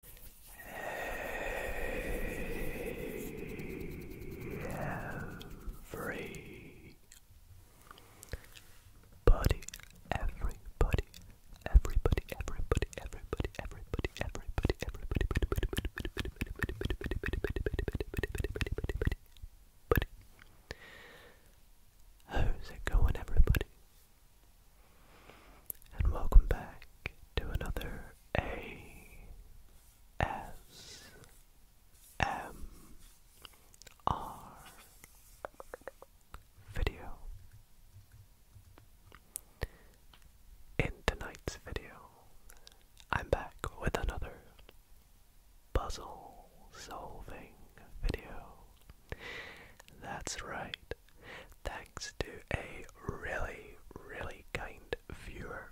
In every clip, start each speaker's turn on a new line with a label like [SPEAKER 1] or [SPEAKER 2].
[SPEAKER 1] Hey, every buddy, everybody, everybody, everybody, everybody, everybody, everybody, everybody, everybody, How's it going, everybody? and welcome back to another ASMR video. In tonight's video, I'm back with another puzzle solving video. That's right thanks to a really, really kind viewer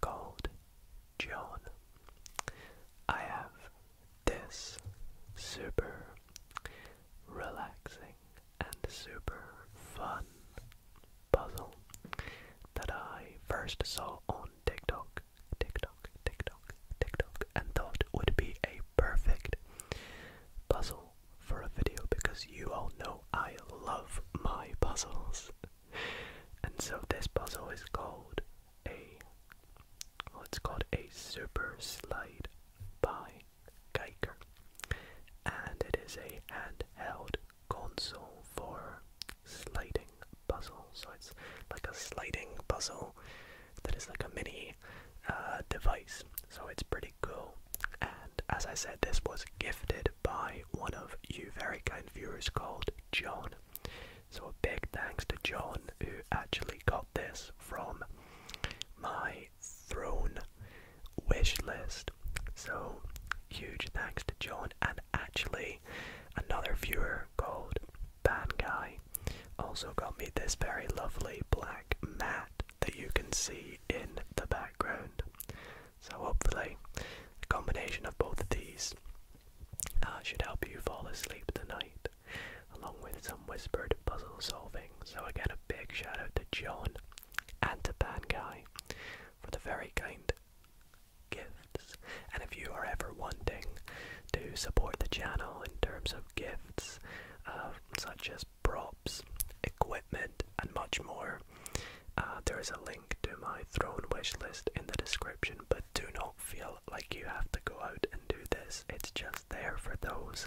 [SPEAKER 1] called John. I have this super relaxing and super fun puzzle that I first saw on TikTok, TikTok, TikTok, TikTok, and thought would be a perfect puzzle for a video because you all know I love my puzzles. and so this puzzle is called a well it's called a super slide by Geiger. And it is a handheld console for sliding puzzle. So it's like a sliding puzzle that is like a mini uh, device. So it's pretty cool. And as I said, this was gifted by one of you very kind viewers called John. So a big thanks to John who actually got this from my throne wish list. So huge thanks to John and actually another viewer called Ban Guy also got me this very lovely black mat that you can see in the background. So, hopefully, a combination of both of these uh, should help you fall asleep tonight, along with some whispered puzzle solving. So, again, a big shout out to John and to Guy for the very kind gifts. And if you are ever wanting to support the channel in terms of gifts, uh, such as props, equipment, and much more. Uh, there is a link to my throne wish list in the description, but do not feel like you have to go out and do this. It's just there for those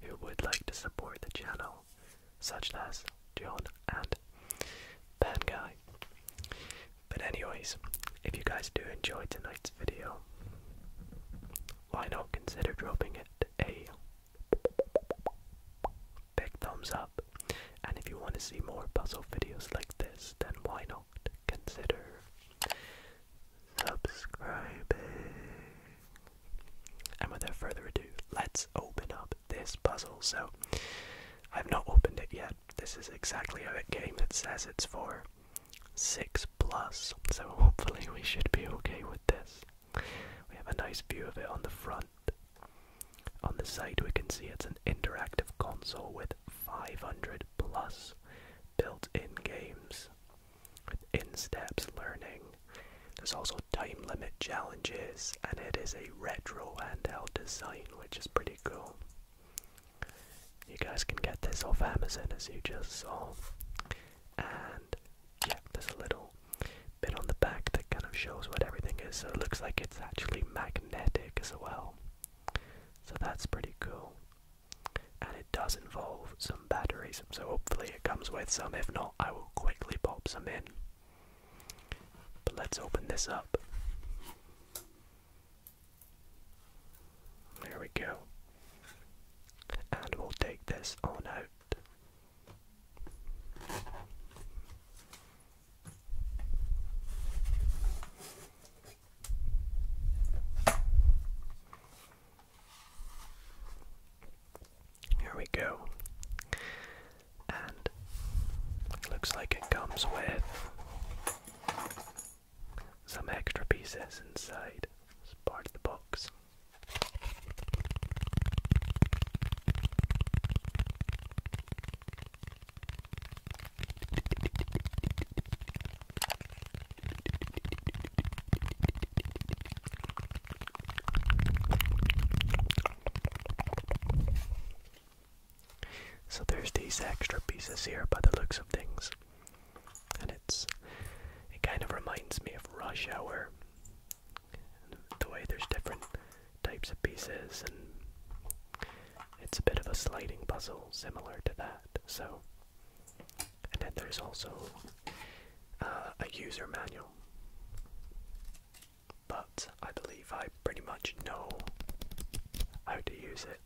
[SPEAKER 1] who would like to support the channel, such as John and Ben Guy. But anyways, if you guys do enjoy tonight's video, why not consider dropping it a big thumbs up? And if you want to see more puzzle videos like this, then why not consider subscribing? And without further ado, let's open up this puzzle. So, I've not opened it yet. This is exactly a game that says it's for 6 plus, so hopefully we should be okay with this. We have a nice view of it on the front. On the side, we can see it's an interactive console with 500 plus built in games, with in steps learning. There's also time limit challenges, and it is a retro handheld design, which is pretty cool. You guys can get this off Amazon as you just saw. And yeah, there's a little bit on the back that kind of shows what everything is. So it looks like it's actually magnetic as well. So that's pretty cool. And it does involve some batteries, so hopefully it comes with some. If not, I will quickly pop some in. But let's open this up. There we go and we'll take this on out. Here we go. And looks like it comes with some extra pieces inside. It's part of the box. So there's these extra pieces here by the looks of things and it's it kind of reminds me of rush hour the way there's different types of pieces and it's a bit of a sliding puzzle similar to that so and then there's also uh, a user manual but i believe i pretty much know how to use it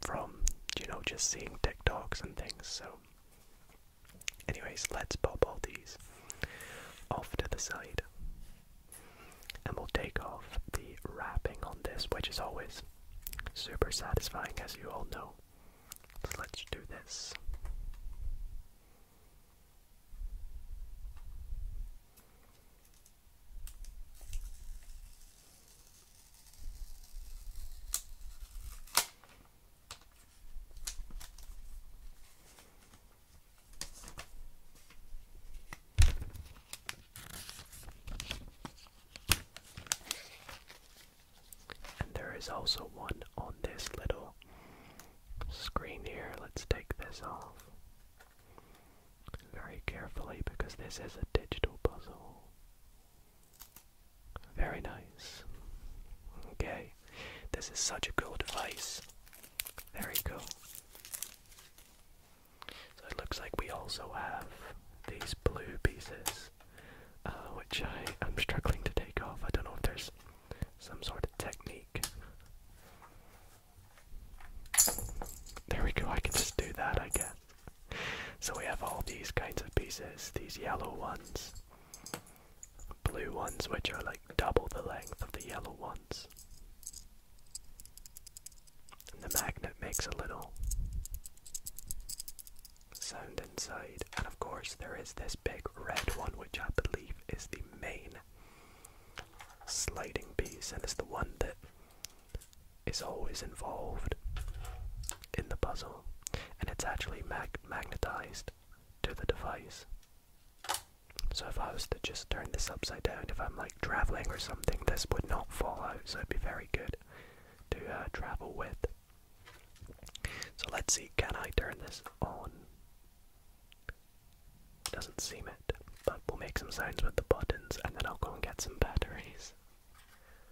[SPEAKER 1] from, you know, just seeing TikToks and things. So, anyways, let's pop all these off to the side and we'll take off the wrapping on this, which is always super satisfying, as you all know. So, let's do this there is also one on this little screen here. Let's take this off very carefully because this is a digital puzzle. Very nice. Okay, this is such a cool device. Very cool. So it looks like we also have these blue pieces, uh, which I am struggling to take off. I don't know if there's some sort of technique. There we go, I can just do that, I guess. so we have all these kinds of pieces, these yellow ones, blue ones, which are like double the length of the yellow ones. And the magnet makes a little sound inside, and of course, there is this big red one, which I believe is the main sliding piece, and it's the one that is always involved in the puzzle, and it's actually magnetized to the device. So if I was to just turn this upside down, if I'm like traveling or something, this would not fall out, so it'd be very good to uh, travel with. So let's see, can I turn this on? Doesn't seem it, but we'll make some sounds with the buttons and then I'll go and get some batteries.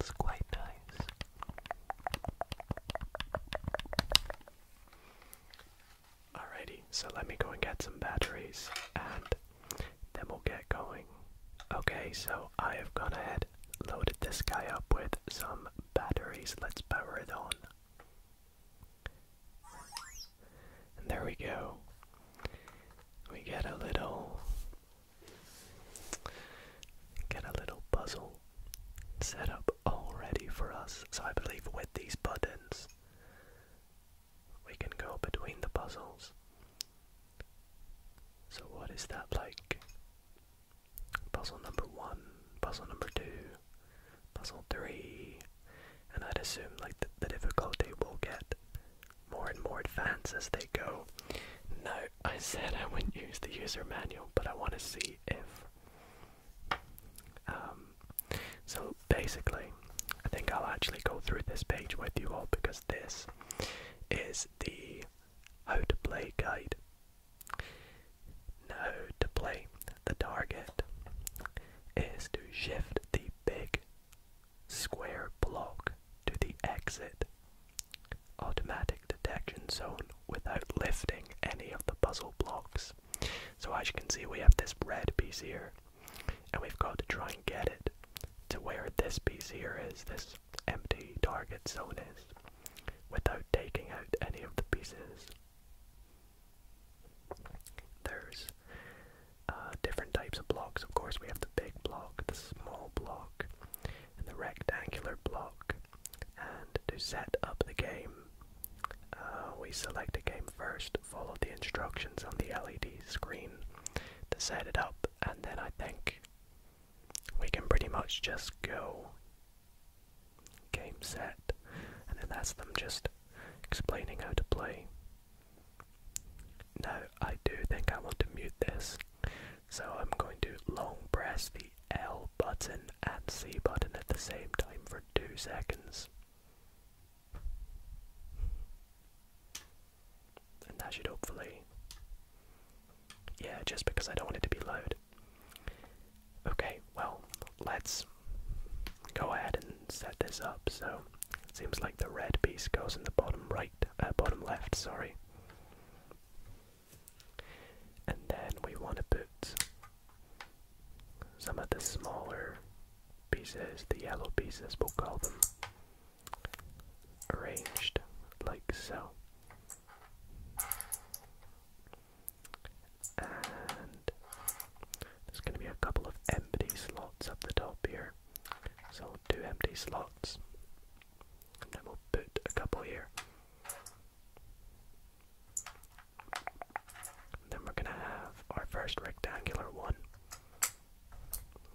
[SPEAKER 1] It's quite nice. Alrighty, so let me go and get some batteries and then we'll get going. Okay, so I have gone ahead, loaded this guy up with some batteries. Let's power it on. And there we go. We get a little Get a little puzzle set up already for us. So I believe with these buttons, we can go between the puzzles. So what is that like? Puzzle number one, puzzle number two, puzzle three, and I'd assume like the difficulty will get more and more advanced as they go. No, I said I wouldn't use the user manual, but I want to see if. Um, so basically, I think I'll actually go through this page with you all because this is the how to play guide. Now, to play, the target is to shift the big square block to the exit automatic detection zone without lifting any of the puzzle blocks. So as you can see, we have this red piece here, and we've got to try and get it to where this piece here is, this empty target zone is, without taking out any of the pieces. There's uh, different types of blocks, of course, we have the big block, the small block, in the rectangular block. And to set up the game, uh, we select a game first, follow the instructions on the LED screen to set it up, and then I think we can pretty much just go game set, and then that's them just explaining how to play.
[SPEAKER 2] Now, I do think I
[SPEAKER 1] want to mute this so I'm going to long press the L button and C button at the same time for two seconds. And that should hopefully. Yeah, just because I don't want it to be loud. Okay, well, let's go ahead and set this up. So, it seems like the red piece goes in the bottom right, uh, bottom left, sorry. And then we want to put some of the smaller pieces, the yellow pieces, we'll call them, arranged like so. And there's going to be a couple of empty slots up the top here. So, two empty slots. And then we'll put a couple here. then we're gonna have our first rectangular one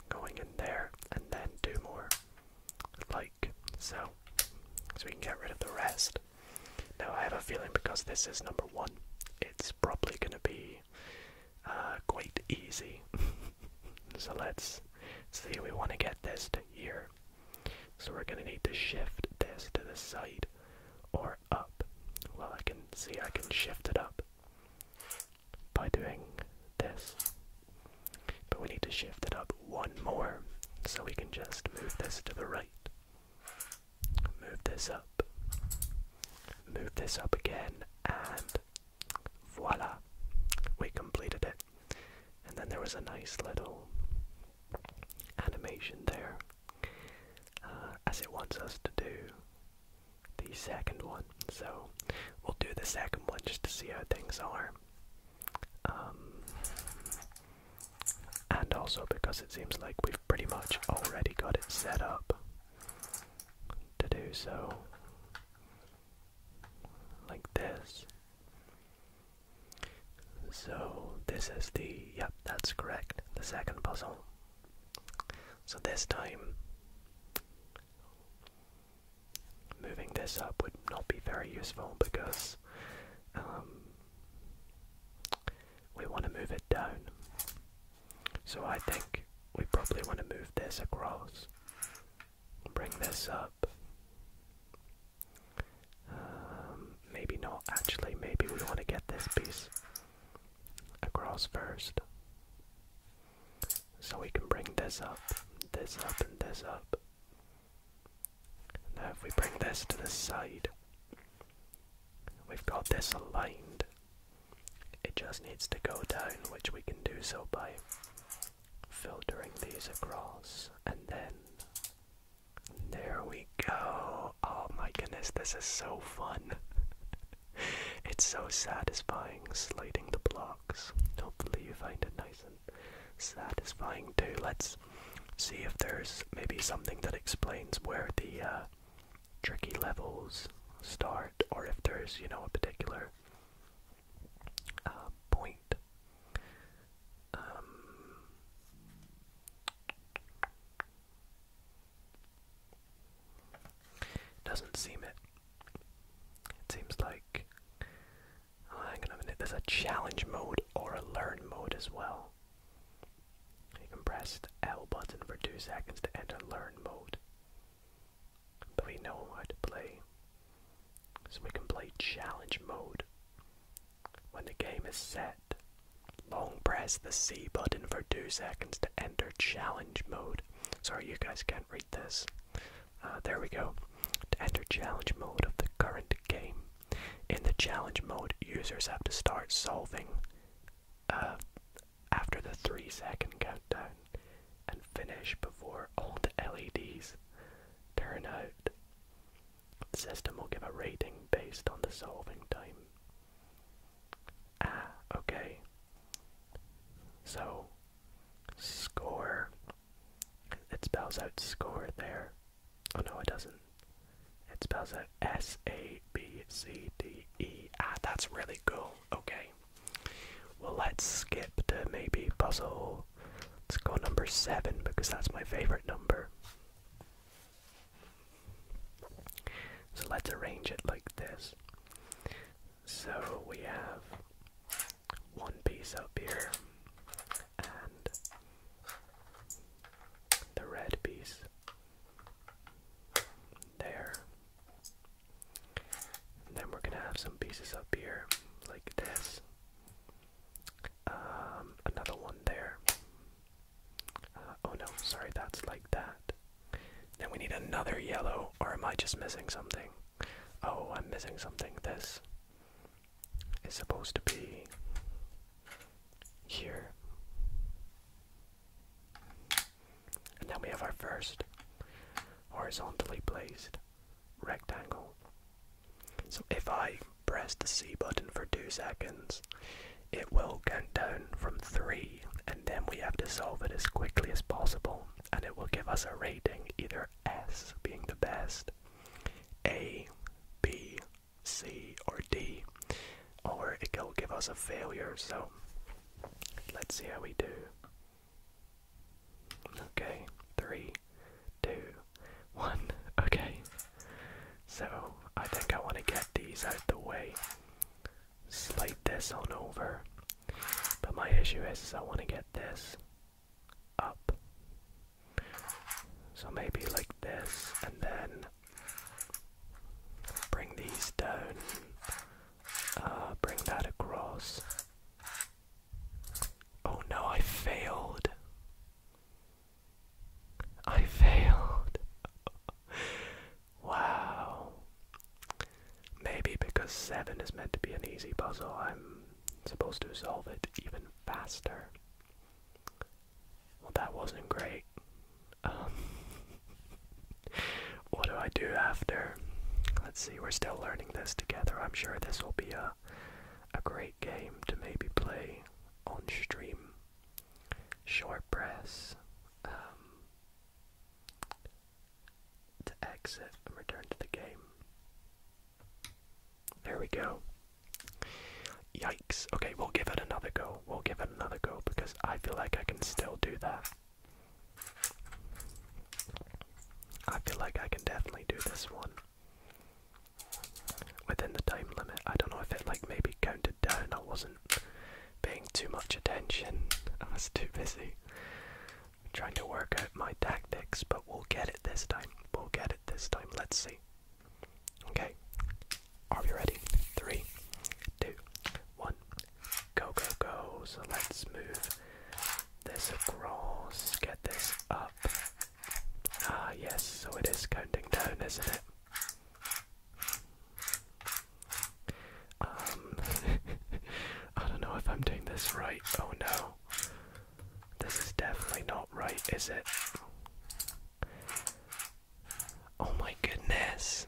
[SPEAKER 1] going in there, and then two more, like so. So we can get rid of the rest. Now I have a feeling because this is number one, it's probably gonna be uh, quite easy. so let's see, we want to get this to here. So we're going to need to shift this to the side or up. Well, I can see I can shift it up by doing this. But we need to shift it up one more. So we can just move this to the right. Move this up. Move this up again and Voila! We completed it. And then there was a nice little animation there, uh, as it wants us to do the second one. So we'll do the second one just to see how things are. Um, and also because it seems like we've pretty much already got it set up to do so like this. So this is the, yep, that's correct, the second puzzle. So this time, moving this up would not be very useful because um, we want to move it down. So I think we probably want to move this across bring this up. Um, maybe not. actually, maybe we want to get this piece across first. So we can bring this up, this up, and this up. Now, if we bring this to the side, we've got this aligned it just needs to go down, which we can do so by filtering these across, and then there we go. Oh my goodness, this is so fun. it's so satisfying sliding the blocks. Hopefully, you find it nice and satisfying too. Let's see if there's maybe something that explains where the uh, tricky levels start, or if there's, you know, a particular uh, point. Um, doesn't seem it. It seems like. Oh, hang on a minute. There's a challenge mode or a learn mode as well. You can press the L button for two seconds to enter learn mode. But we know how to play. So we can play challenge mode. When the game is set, long press the C button for two seconds to enter challenge mode. Sorry, you guys can't read this. Uh, there we go. To enter challenge mode of the current game. In the challenge mode, users have to start solving uh, after the 3 second countdown and finish before all the LEDs turn out. The system will give a rating based on the solving time. Ah, okay. So, score. It spells out score there. Oh no, it doesn't. It spells out S A B C D E. Ah, that's really cool. Okay. Well, let's skip to maybe puzzle. Let's go number seven because that's my favorite number. So let's arrange it like this. So we have one piece up here and the red piece there and then we're gonna have some pieces up here like this. Um, another one there. Uh, oh no, sorry, that's like that. Then we need another yellow, or am I just missing something? Oh, I'm missing something. This is supposed to be here. And then we have our first horizontally placed rectangle. So if I press the C button for two seconds, it will count down from three, and then we have to solve it as quickly as possible, and it will give us a rating either S being the best, A, B, C, or D, or it will give us a failure. So let's see how we do. Okay, three, two, one. Okay, so I think I want to get these out the way. Slide this on over. But my issue is, is I want to get this up. So maybe like this, and then bring these down. Uh, bring that across. Oh no, I failed. I failed. wow. Maybe because 7 is meant to be an easy puzzle, I'm supposed to solve it even faster. Well, that wasn't great. Um, what do I do after? Let's see, we're still learning this together. I'm sure this will be a a great game to maybe play on stream. Short press. Um, to exit and return to the game. There we go. Yikes. Okay, we'll give it another go. We'll give it another go because I feel like I can still do that. I feel like I can definitely do this one within the time limit. I don't know if it like maybe counted down. I wasn't paying too much attention. I was too busy trying to work out my tactics, but we'll get it this time. We'll get it this time. Let's see. Okay. Are we ready? Three, two, one. Go, go, go. So let's move this across. Get this up. Ah, yes. So it is counting down, isn't it? Um, I don't know if I'm doing this right. Oh no. This is definitely not right, is it? Oh my goodness.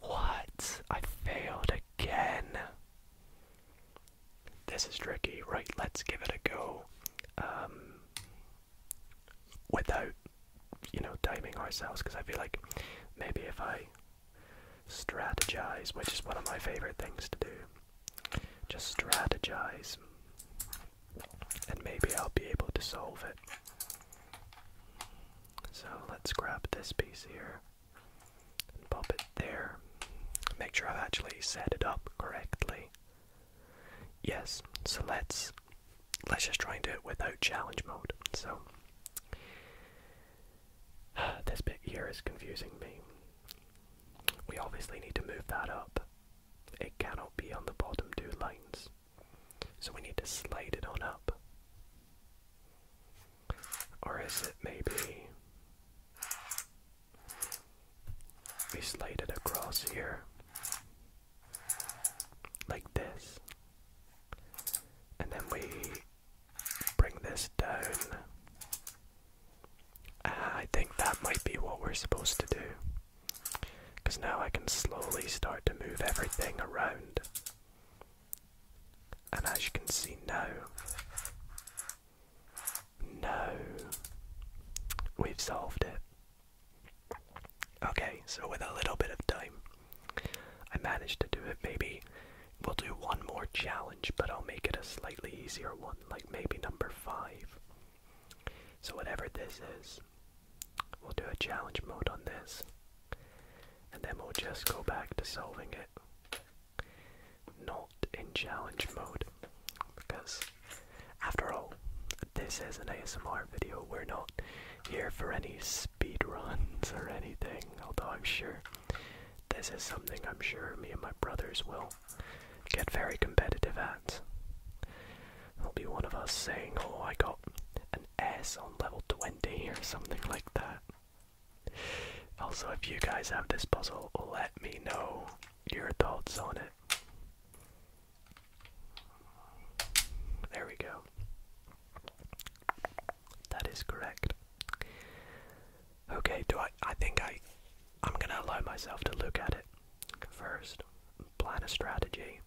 [SPEAKER 1] What? I failed again. This is tricky. Right, let's give it a go. Um, without, you know, timing ourselves, because I feel like maybe if I strategize, which is one of my favorite things to do, just strategize, and maybe I'll be able to solve it. So let's grab this piece here and pop it there. Make sure I've actually set it up correctly. Yes, so let's let's just try and do it without challenge mode. So this bit here is confusing me. We obviously need to move that up. It cannot be on the bottom two lines. So we need to slide it on up. Or is it maybe we slide it across here like this? And then we bring this down. Ah, I think that might be what we're supposed to do. Because now I can slowly start to move everything around. And as you can see, no. No. We've solved it. Okay, so with a little bit of time, I managed to do it. Maybe we'll do one more challenge, but I'll make it a slightly easier one, like maybe number five. So, whatever this is, We'll do a challenge mode on this. And then we'll just go back to solving it. Not in challenge mode. Because, after all, this is an ASMR video. We're not here for any speed runs or anything. Although I'm sure this is something I'm sure me and my brothers will get very competitive at. There'll be one of us saying, oh, I got an S on level 20 or something like that. Also, if you guys have this puzzle, let me know your thoughts on it. There we go. That is correct. Okay, do I I think I I'm going to allow myself to look at it first. Plan a strategy.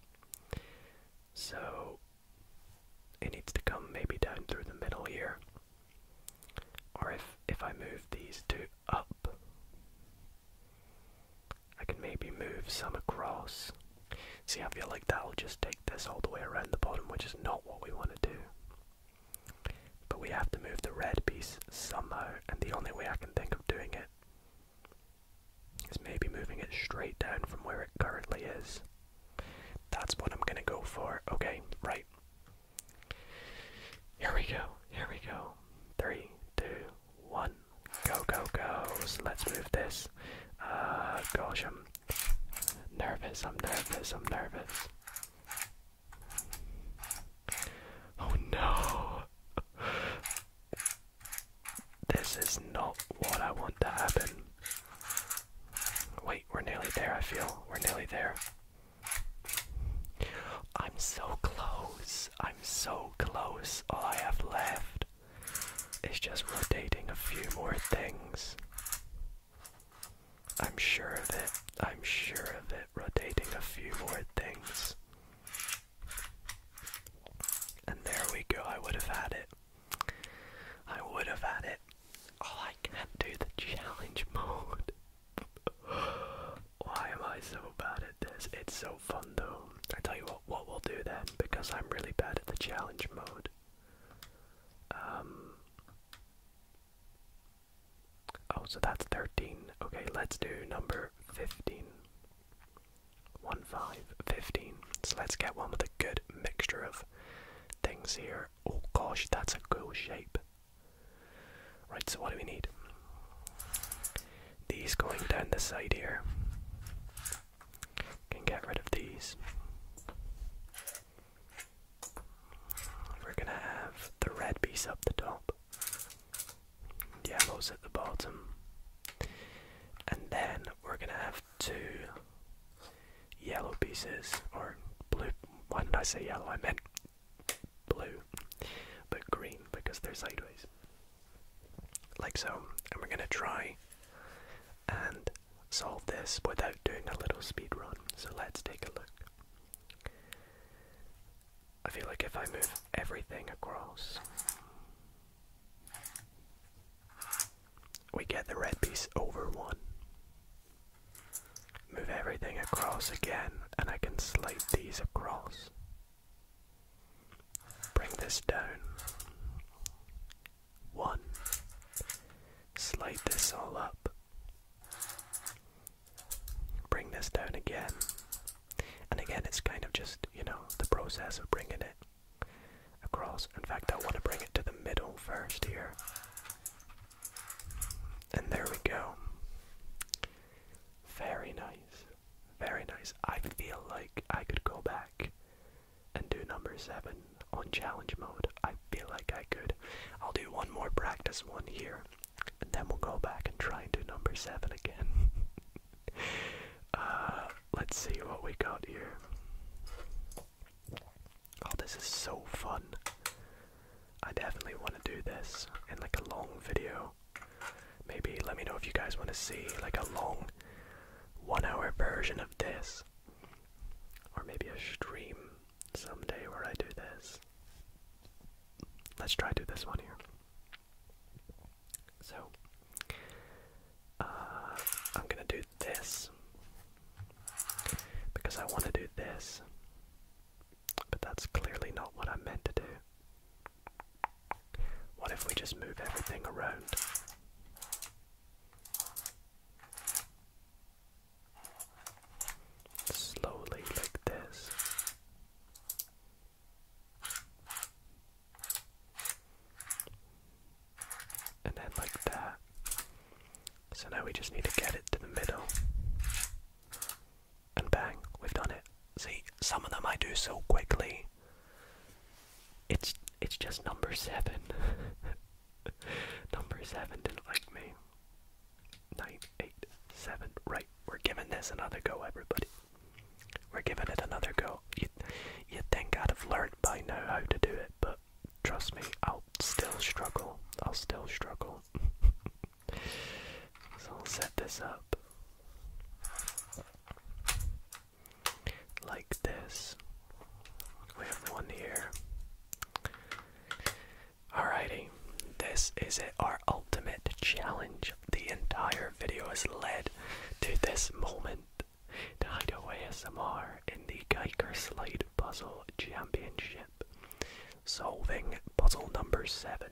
[SPEAKER 1] So, it needs to come maybe down through the middle here. Or if if I move these two up, I can maybe move some across. See, I feel like that'll just take this all the way around the bottom, which is not what we want to do. But we have to move the red piece somehow, and the only way I can think of doing it is maybe moving it straight down from where it currently is. That's what I'm gonna go for. Okay, right. Here we go, here we go. Three, two, one. Go, go, go. let's move this. Uh, gosh, I'm nervous, I'm nervous, I'm nervous. Oh no! This is not what I want to happen. Wait, we're nearly there, I feel. We're nearly there. I'm so close. I'm so close. All I have left is just rotating a few more things. I'm sure of it. I'm sure of it. Rotating a few more things. And there we go. I would have had it. I would have had it. Oh, I can't do the challenge mode. Why am I so bad at this? It's so fun though. I tell you what, what we'll do then, because I'm really bad at the challenge mode. Um. Oh, so that's 13. Okay, let's do number 15. 1, 5, 15. So let's get one with a good mixture of things here. Oh gosh, that's a cool shape. Right, so what do we need? These going down the side here. Can get rid of these. We're gonna have the red piece up the top, yellows at the bottom, and then we're gonna have two yellow pieces, or blue. Why did I say yellow? I meant blue, but green because they're sideways. Like so. And we're going to try and solve this without doing a little speed run. So let's take a look. I feel like if I move everything across, we get the red piece over one. Move everything across again, and I can slide these across. Bring this down. One. Slide this all up. Bring this down again. And again, it's kind of just, you know, the process of bringing it across. In fact, I want to bring it to the middle first here. And there we go. Very nice. Very nice. I feel like I could go back and do number seven on challenge mode. I feel like I could. I'll do one more practice one here, and then we'll go back and try and do number seven again. Uh, Let's see what we got here. Oh, this is so fun. I definitely want to do this in like a long video. Maybe let me know if you guys want to see like a long one hour version of this. Or maybe a stream someday where I do this. Let's try to do this one here. So, uh, I'm gonna do this because I want to do this, but that's clearly not what I meant to do. What if we just move everything around? Slowly, like this. And then like that. So now we just need to get it to the middle. And bang, we've done it. See, some of them I do so quickly. It's it's just number seven. number seven didn't like me. Nine, eight, seven. Right, we're giving this another go, everybody. We're giving it another go. You'd, you'd think I'd have learned by now how to do it, but trust me, I'll still struggle. I'll still struggle. so I'll set this up like this. We have one here. Alrighty, this is it, our ultimate challenge. The entire video has led to this moment to Hideaway ASMR in the Geiger Slide Puzzle Championship, solving puzzle number 7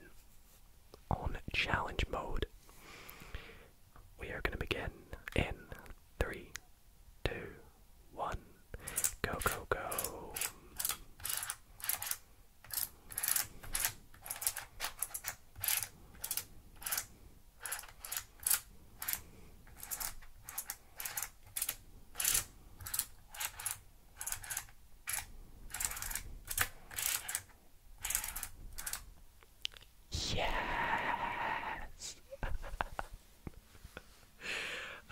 [SPEAKER 1] on challenge mode. We are going to begin in 3, Go, go, go. Yes.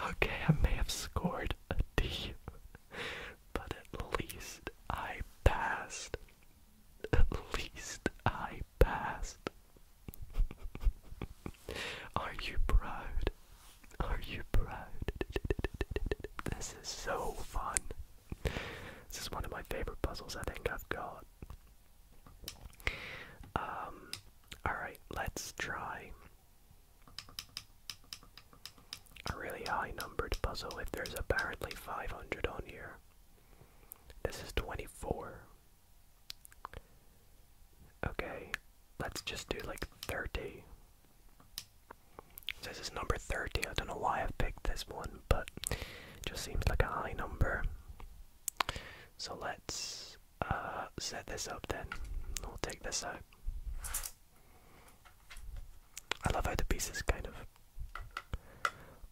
[SPEAKER 1] okay, I may have scored a D, but at least I passed. At least I passed. Are you proud? Are you proud? This is so fun. This is one of my favorite puzzles I think I've got. Um, alright, let's try a really high numbered puzzle if there's apparently 500 on here. This is 24. Okay, let's just do like 30. This is number 30. I don't know why I've picked this one, but it just seems like a high number. So let's uh, set this up then. We'll take this out. I love how the pieces kind of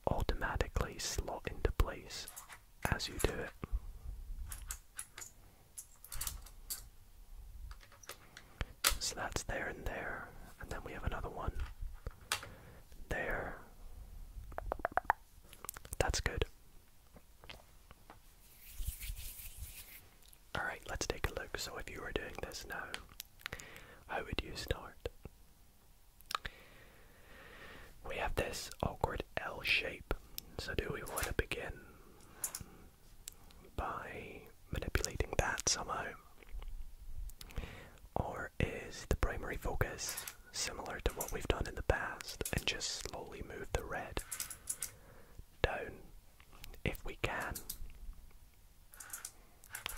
[SPEAKER 1] automatically slot into place as you do it. So that's there and there, and then we have another one there. That's good. Alright, let's take a look. So, if you were doing this now, how would you start? We have this awkward L shape. So, do we want to begin by manipulating that somehow? Or is the primary focus similar to what we've done in the past and just slowly move the red down if we can?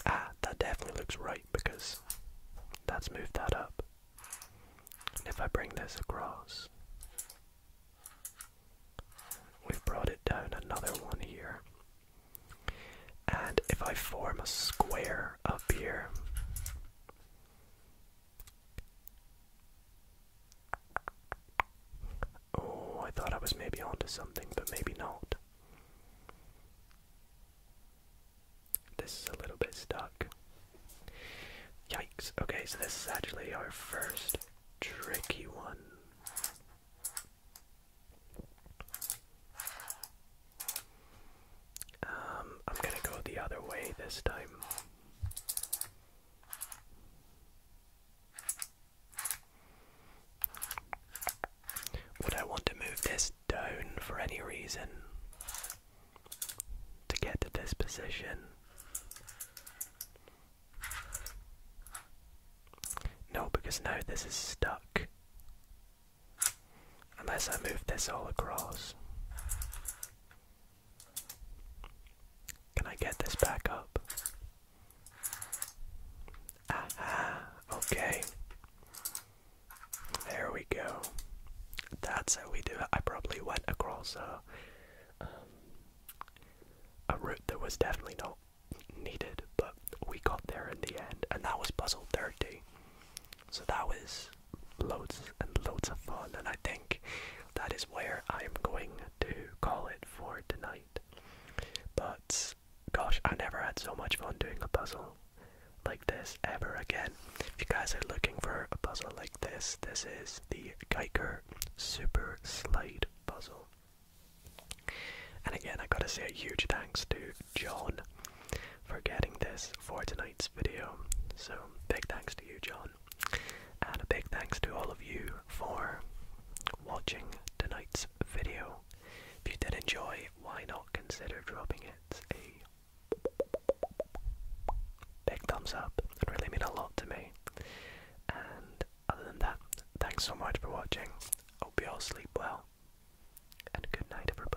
[SPEAKER 1] Ah, that definitely looks right because that's moved that up. And if I bring this across, we've brought it down another one here. And if I form a square up here, oh, I thought I was maybe onto something, but maybe not. This is a little bit stuck. Yikes. Okay, so this is actually our first tricky one. Um, I'm gonna go the other way this time. Would I want to move this down for any reason? To get this position? No, because now this is stuck. Unless I move this all across. Can I get this back up? okay. There we go. That's how we do it. I probably went across a, um, a route that was definitely not needed, but we got there in the end, and that was puzzle 30. So that was loads and loads of fun, and I think that is where I am going to call it for tonight. But gosh, I never had so much fun doing a puzzle like this ever again. If you guys are looking for a puzzle like this, this is the Geiger Super Slide Puzzle. And again, I gotta say a huge thanks to John for getting this for tonight's video. So, big thanks to you, John. And a big thanks to all of you for watching tonight's video. If you did enjoy, why not consider dropping it a big thumbs up? It really mean a lot to me. And other than that, thanks so much for watching. Hope you all sleep well. And good night, everybody.